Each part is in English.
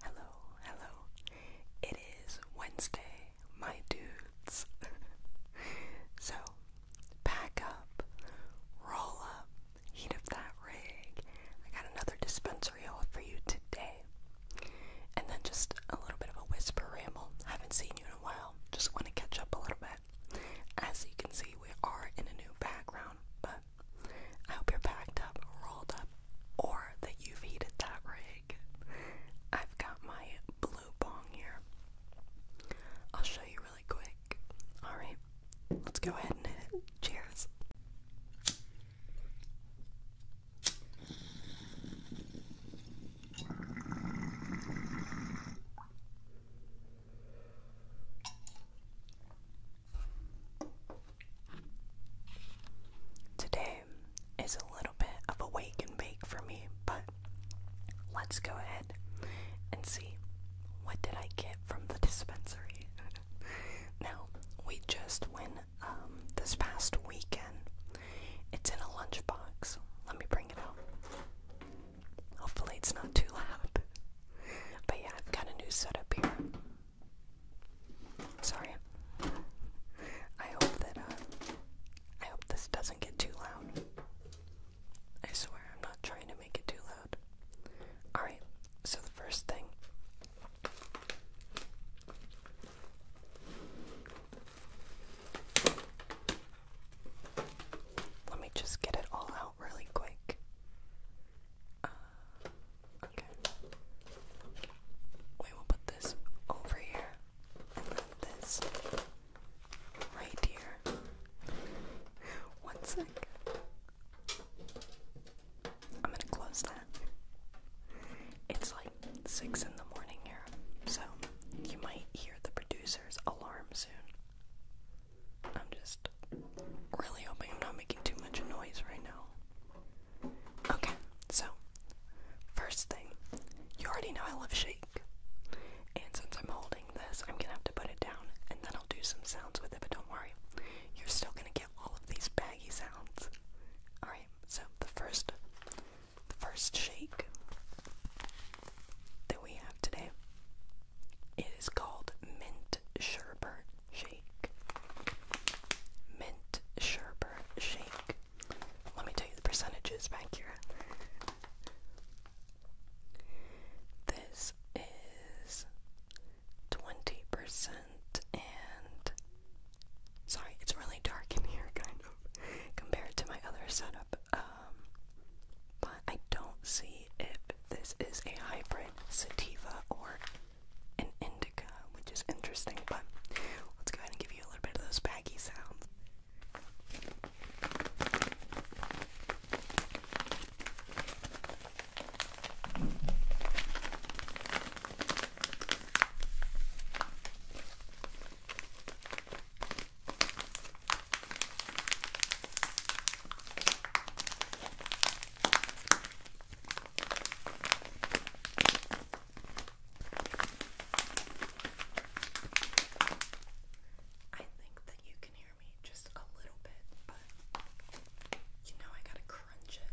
Hello, hello. It is Wednesday, my dudes. so, pack up, roll up, heat up that rig. I got another dispensary haul for you today. And then just a little bit of a whisper ramble. I haven't seen you in a while. Just want to catch up a little bit. As you can see, we are in a new background, but I hope you're packed up, rolled up, or that you've heated that rig. I've got my blue bong here. I'll show you really quick. Alright, let's go ahead and hit it. Cheers. Today is a little bit of a wake and bake for me, but let's go ahead and see what did I get from the dispensary. now, we just went um, this past weekend. It's in a lunchbox. Let me bring it out. Hopefully, it's not too loud. But yeah, I've got a new setup here. Sorry. I hope that uh, I hope this doesn't get too loud. I swear I'm not trying to make it too loud. Alright, so the first thing let me just get it all out really quick. Uh, Okay. We will put this over here and then this right here. One sec. I'm gonna close that. It's like six in the morning here, so you might hear the producer's alarm soon. I'm just Really hoping I'm not making too much noise right now. Okay, so first thing, you already know I love shake. And since I'm holding this, I'm gonna have to put it down and then I'll do some sounds with it, but don't worry. You're still gonna get all of these baggy sounds. Alright, so the first the first shake that we have today is called mint sherbet shake. Mint sherbet shake. Let me tell you the percentages back here. This is 20% and. Sorry, it's really dark in here, kind of, compared to my other setup. Um, but I don't see if this is a hybrid sativa or an indica, which is interesting, but let's go ahead and give you a little bit of those baggy sounds. I think that you can hear me just a little bit, but you know I gotta crunch it.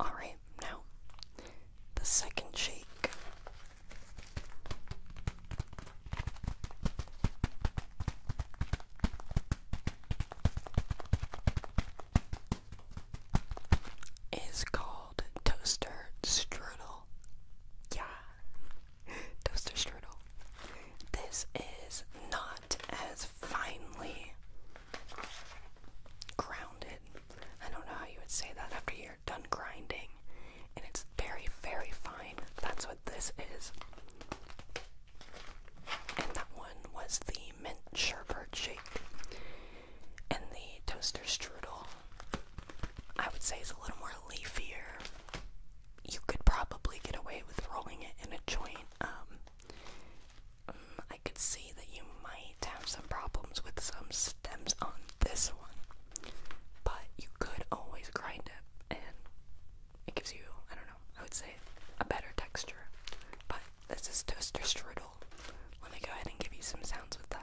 Alright, now the second shake. Is called toaster strudel. Yeah, toaster strudel. This is not as finely grounded. I don't know how you would say that after you're done grinding. And it's very, very fine. That's what this is. And that one was the mint sherbet shake. And the toaster strudel, I would say, is a little more leafier. You could probably get away with rolling it in a joint. Um, I could see that you might have some problems with some stems on this one, but you could always grind it and it gives you, I don't know, I would say a better texture. But this is toaster strudel. Let me go ahead and give you some sounds with that.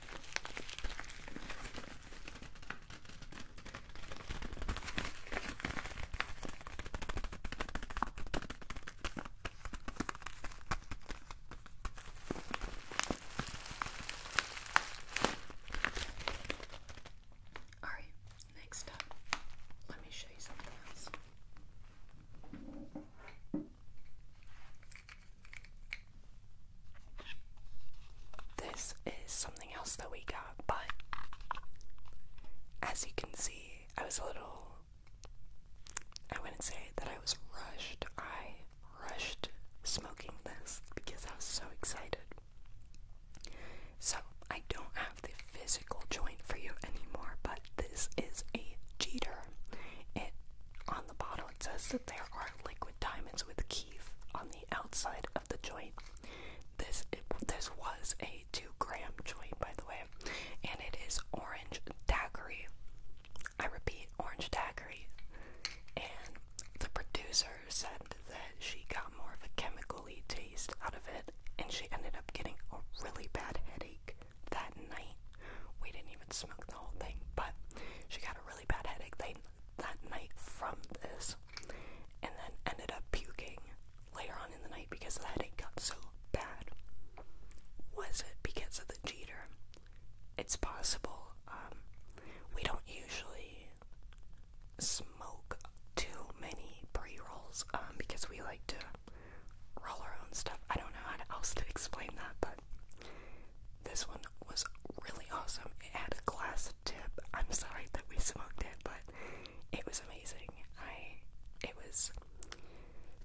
All right, next up, let me show you something else. This is something else that we got, but as you can see, I was a little. I wouldn't say that I was rushed. I rushed smoking this because I was so excited. So, I don't have the physical joint for you anymore, but this is a Jeter. It on the bottle it says that there are liquid diamonds with Keith on the outside of the joint. This this was a two gram joint, by the way, and it is orange daiquiri. I repeat, orange daiquiri. And the producer said that she got more of a chemically taste out of it, and she ended up getting a really bad headache that night. We didn't even smoke the whole thing, but she got a really bad headache that night from this, and then ended up puking later on in the night because the headache got so bad. Was it because of the jeter? It's possible. Um, we don't usually smoke too many pre rolls um, because we like to roll our own stuff. I don't know how else to explain that, but this one was really awesome. It had a glass tip. I'm sorry that we smoked it, but it was amazing. I it was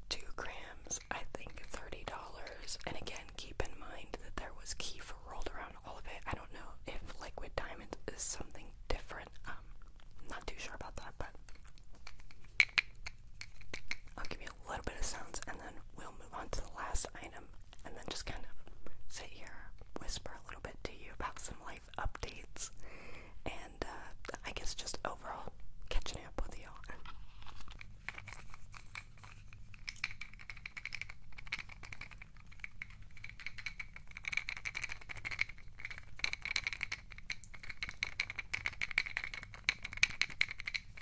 two grams, I think thirty dollars. And again, keep in mind that there was kefir rolled around all of it. I don't know if liquid diamond is something different. Um, not too sure about that, but I'll give you a little bit of sounds and then we'll move on to the last item and then just kind of sit here, whisper a little bit to you about some life updates and uh, I guess just overall catching up with y'all.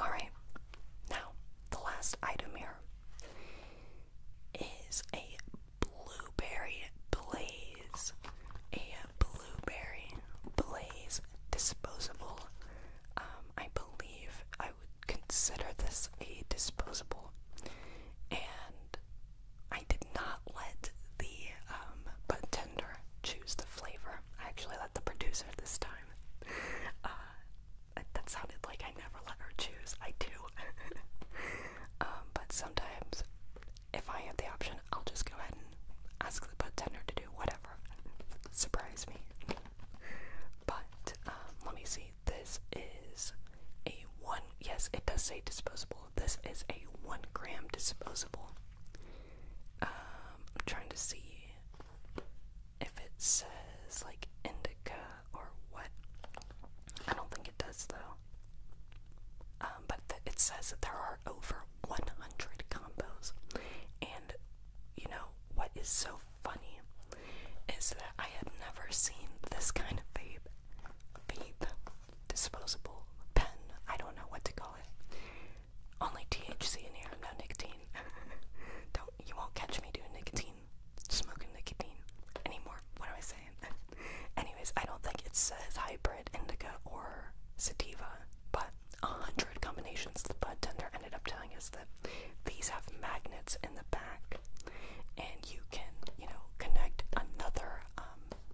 Alright, now the last item here is a blueberry blaze. A blueberry blaze disposable. Um, I believe I would consider this a disposable. And I did not let the um, bartender choose the flavor. I actually let the producer this time. Uh, that sounded like I never let her choose. I do. Um, but sometimes, if I have the option, I'll just go ahead and ask the bartender to do whatever. Surprise me. But um, let me see. This is a one. Yes, it does say disposable this is a one gram disposable. Um, I'm trying to see if it says like indica or what. I don't think it does though. Um, but it says that there are over 100 combos, and you know what is so funny is that I had never seen this kind of vape vape, disposable pen, I don't know what to call it. Only THC in here, no nicotine. don't you won't catch me doing nicotine, smoking nicotine anymore. What am I saying? Anyways, I don't think it says hybrid indica or sativa, but a hundred combinations the bud tender ended up telling us that these have magnets in the back and you can, you know, connect another um,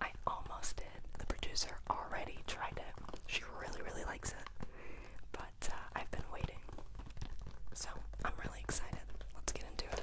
I almost did. The producer already tried it. She really, really likes it. But uh, I've been waiting. So I'm really excited. Let's get into it.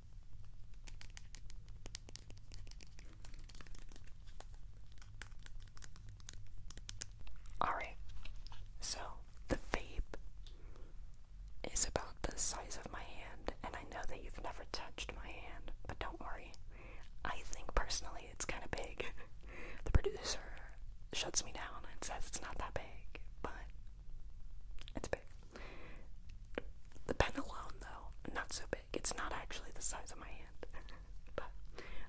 Alright, so the vape is about the size of my hand, and I know that you've never touched my hand, but don't worry. I think personally it's kind of big. the producer shuts me down and says it's not that big, but it's big. The pen alone, though, not so big. It's not actually the size of my hand. but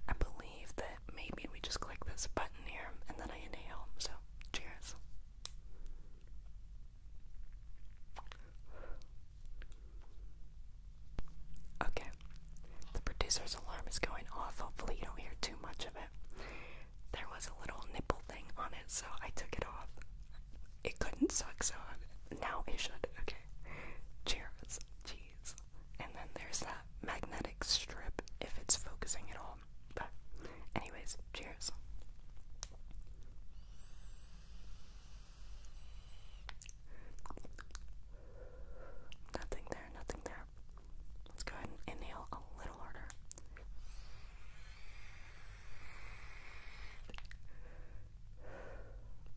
I believe that maybe we just click this button here and then I inhale. So, cheers. Okay, the producer's alarm is going off. Hopefully, you don't hear too much of it there was a little nipple thing on it, so I took it off. It couldn't suck, so now it should. Okay. Cheers. Jeez. And then there's that magnetic strip if it's focusing at all. But, anyways, cheers. Nothing there, nothing there. Let's go ahead and inhale a little harder.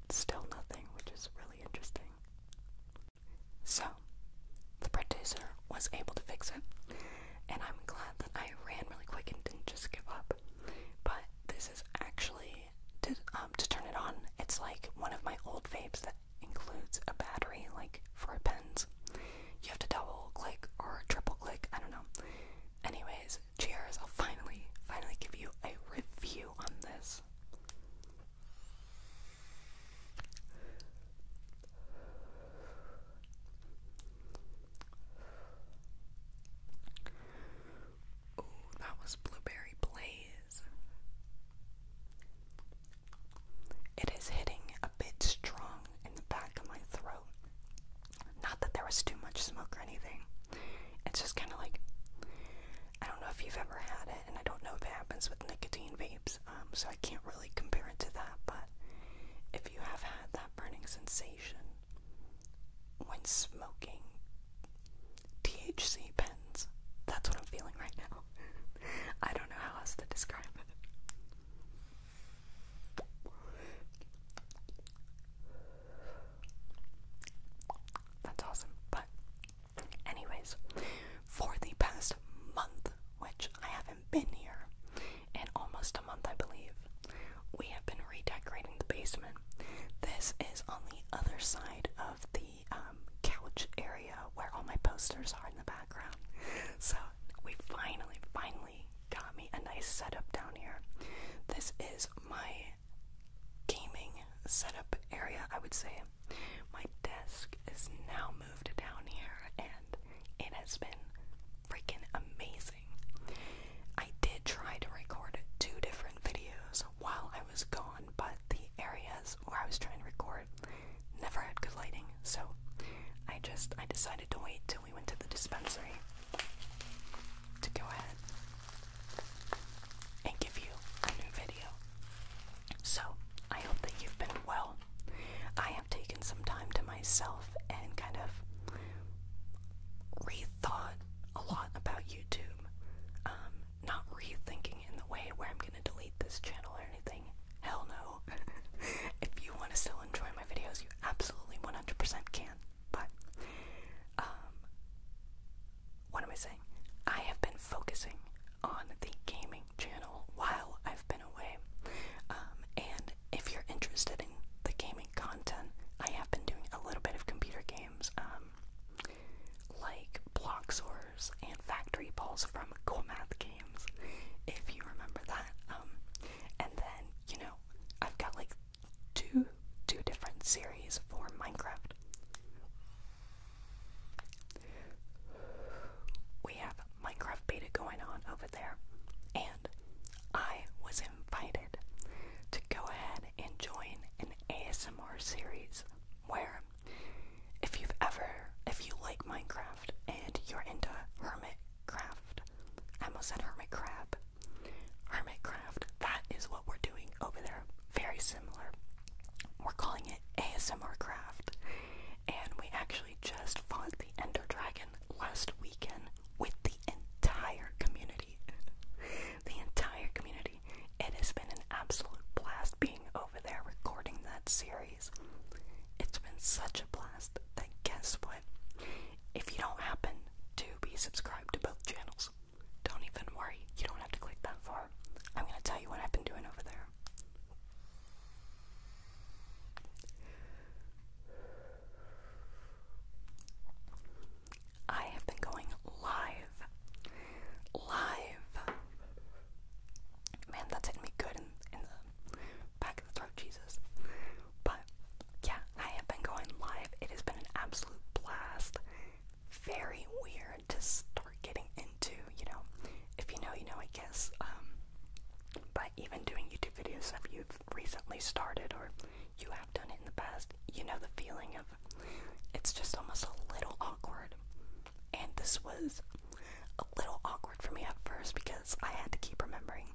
Still nothing, which is really interesting. So, the producer was able to fix it, and I'm glad that I ran really quick and didn't just give up. But this is actually to um, to turn it on. It's like one of my old vapes that includes a battery, like for pen's. You have to double click or triple click, I don't know. Anyways, cheers. I'll finally, finally give you a review on this. Ooh, that was Blueberry Blaze. It is hitting a bit strong in the back of my throat. Not that there was too much smoke or anything. It's just kind of like, I don't know if you've ever had it, and I don't know if it happens with nicotine vapes, um, so I can't really compare it to that. But if you have had that burning sensation when smoking THC pens, that's what I'm feeling right now. I don't know how else to describe it. That's awesome. But, anyways, for the past month, which I haven't been here in almost a month, I believe, we have been redecorating the basement. This is on the other side of the um, couch area where all my posters are in the back. So we finally, finally got me a nice setup down here. This is my gaming setup area, I would say. My desk is now moved down here and it has been freaking amazing. I did try to record two different videos while I was gone, but the areas where I was trying to record Never had good lighting, so I just I decided to wait till we went to the dispensary to go ahead and give you a new video. So I hope that you've been well. I have taken some time to myself and kind of rethought a lot about YouTube. Um, not rethinking in the way where I'm gonna delete this channel or anything, Hell no. if you want to still enjoy my videos, you absolutely 100% can. But, um, what am I saying? I have been focusing on the gaming channel while I've been away. Um, and if you're interested in the gaming content, I have been doing a little bit of computer games, um, like like Bloxors and Factory Balls from Cool Math Games if you remember that. Um, and then you know, I've got like two two different series for Minecraft. We have Minecraft beta going on over there, and I was invited to go ahead and join an ASMR series where if you've ever if you like Minecraft and you're into hermit craft. I almost said hermit crab. Hermit craft. That is what we're doing over there. Very similar. We're calling it ASMR craft. And we actually just fought the Ender Dragon last weekend with the entire community. the entire community. It has been an absolute blast being over over there recording that series. It's been such a blast that guess what? If you don't happen to be subscribed to both channels, don't even worry, you don't have to click that far. I'm gonna tell you what I've been doing over there. I have been going live, live Man, that's hitting me good in, in the back of the throat, Jesus. But yeah, I have been going live. It has been an absolute blast. Very weird to start getting into, you know. If you know, you know, I guess. Um, but even doing YouTube videos, if you've recently started or you have done it in the past, you know the feeling of it's just almost a little awkward. And this was a little awkward for me at first because I had to keep remembering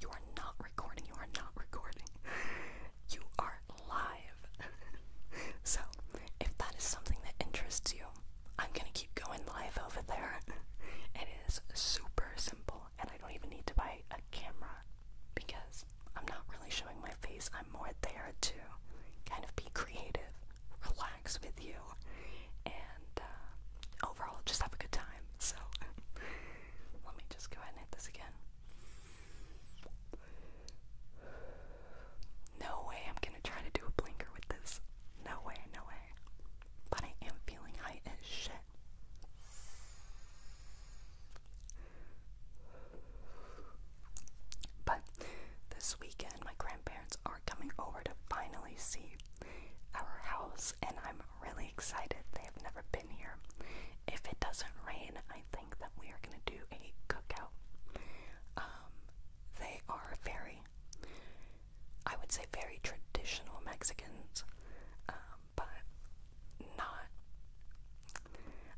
you are not recording, you are not recording. You are live. so, if that is something that interests you, I'm gonna keep going live over there. it is super simple, and I don't even need to buy a camera because I'm not really showing my face. I'm more there to kind of be creative, relax with you and uh, overall just have a good time. So let me just go ahead and hit this again. No way I'm gonna try to do a blinker with this. No way, no way. But I am feeling high as shit. But this weekend my grandparents are coming over to finally see our house, and I'm really excited. They have never been here. If it doesn't rain, I think that we are going to do a cookout. Um, they are very, I would say, very traditional Mexicans, um, but not,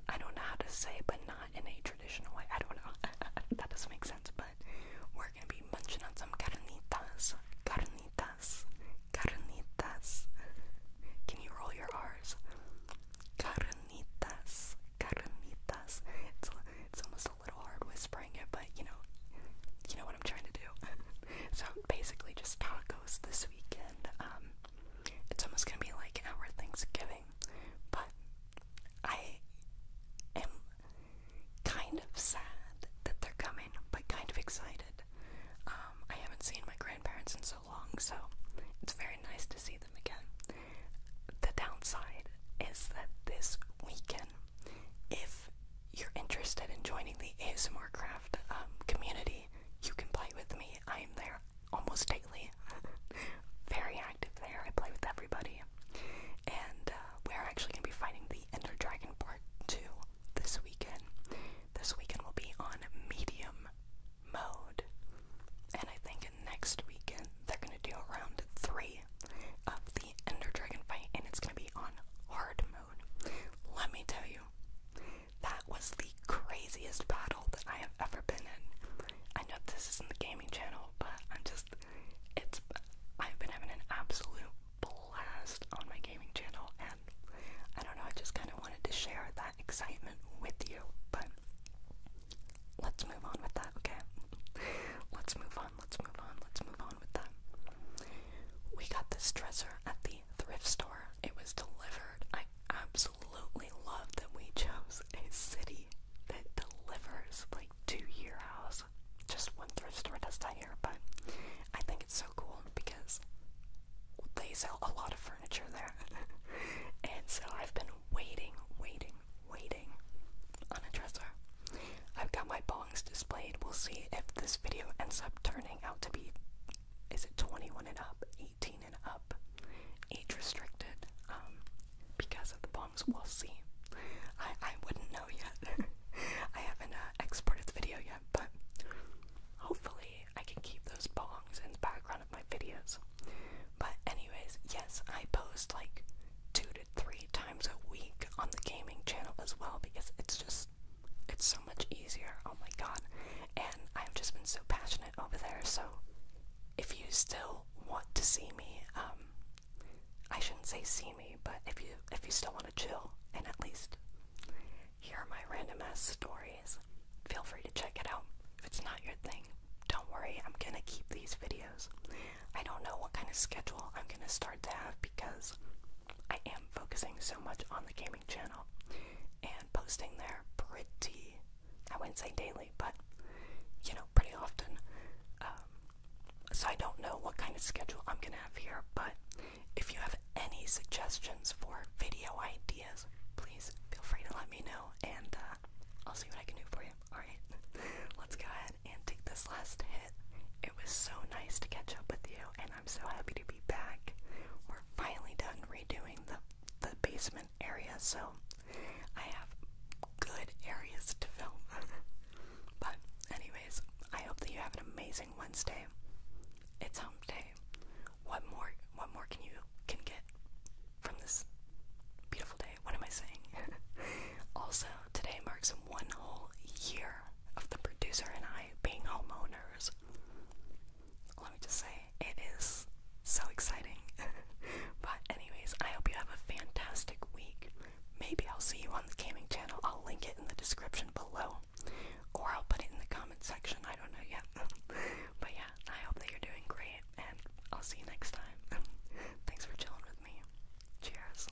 I don't know how to say, but not in a traditional way. I don't know. that doesn't make sense, but we're gonna be munching on some carnitas. Carnitas. Carnitas. Can you roll your R's? Carnitas. Carnitas. It's, it's almost a little hard whispering it, but you know, you know what I'm trying to do. so basically, just tacos this weekend. Um, it's almost gonna be like our Thanksgiving, but I am kind of sad that they're coming, but kind of excited. Um, I haven't seen my grandparents in so long, so it's very nice to see them again. The downside is that this weekend, if you're interested in joining the ASMR Craft um, community, you can play with me. I am there almost daily. very active there. I play with everybody. And uh, we're actually going to be fighting the Ender Dragon Part 2 this weekend. This weekend will be on medium mode. And I think next weekend they're going to do round 3 of the Ender Dragon fight, and it's going to be on hard mode. Let me tell you, that was the craziest battle that I have ever been in. I know this isn't the gaming channel, but I'm just, it's, I've been having an absolute blast on my gaming channel, and I don't know, I just kind of wanted to share that excitement with you, but let's move on with that, okay? let's move on, let's move on, let's move on with that. We got this dresser at the thrift store. It was delivered. I absolutely absolutely love that we chose a city that delivers like to your house. Just one thrift store does that here, but I think it's so cool because they sell a lot of furniture there. and so I've been waiting, waiting, waiting on a dresser. I've got my bongs displayed. We'll see if this video ends up turning out to be is it 21 and up, 18 and up, age restricted, um, because of the bombs. We'll see. I, I wouldn't know yet. I haven't uh, exported the video yet, but hopefully I can keep those bongs in the background of my videos. But anyways, yes, I post like two to three times a week on the gaming channel as well because it's just it's so much easier. Oh my god. And I've just been so passionate over there. So if you still want to see me, um, I shouldn't say see me, but if you if you still want to chill and at least hear my random ass stories, feel free to check it out. If it's not your thing, don't worry. I'm gonna keep these videos. I don't know what kind of schedule I'm gonna start to have because I am focusing so much on the gaming channel and posting there pretty I wouldn't say daily, but you know, pretty often. Um, so I don't know what kind of schedule I'm gonna have here, but if you have any suggestions for video ideas, please feel free to let me know, and uh, I'll see what I can do for you. All right, let's go ahead and take this last hit. It was so nice to catch up with you, and I'm so happy to be back. We're finally done redoing the the basement Area, so I have good areas to film. but, anyways, I hope that you have an amazing Wednesday. It's home day. What more? What more can you can get from this beautiful day? What am I saying? also, today marks one whole year of the producer and I being homeowners let me just say, it is so exciting. but, anyways, I hope you have a fantastic week. Maybe I'll see you on the gaming channel. I'll link it in the description below, or I'll put it in the comment section. I don't know yet. but, yeah, I hope that you're doing great, and I'll see you next time. Thanks for chilling with me. Cheers.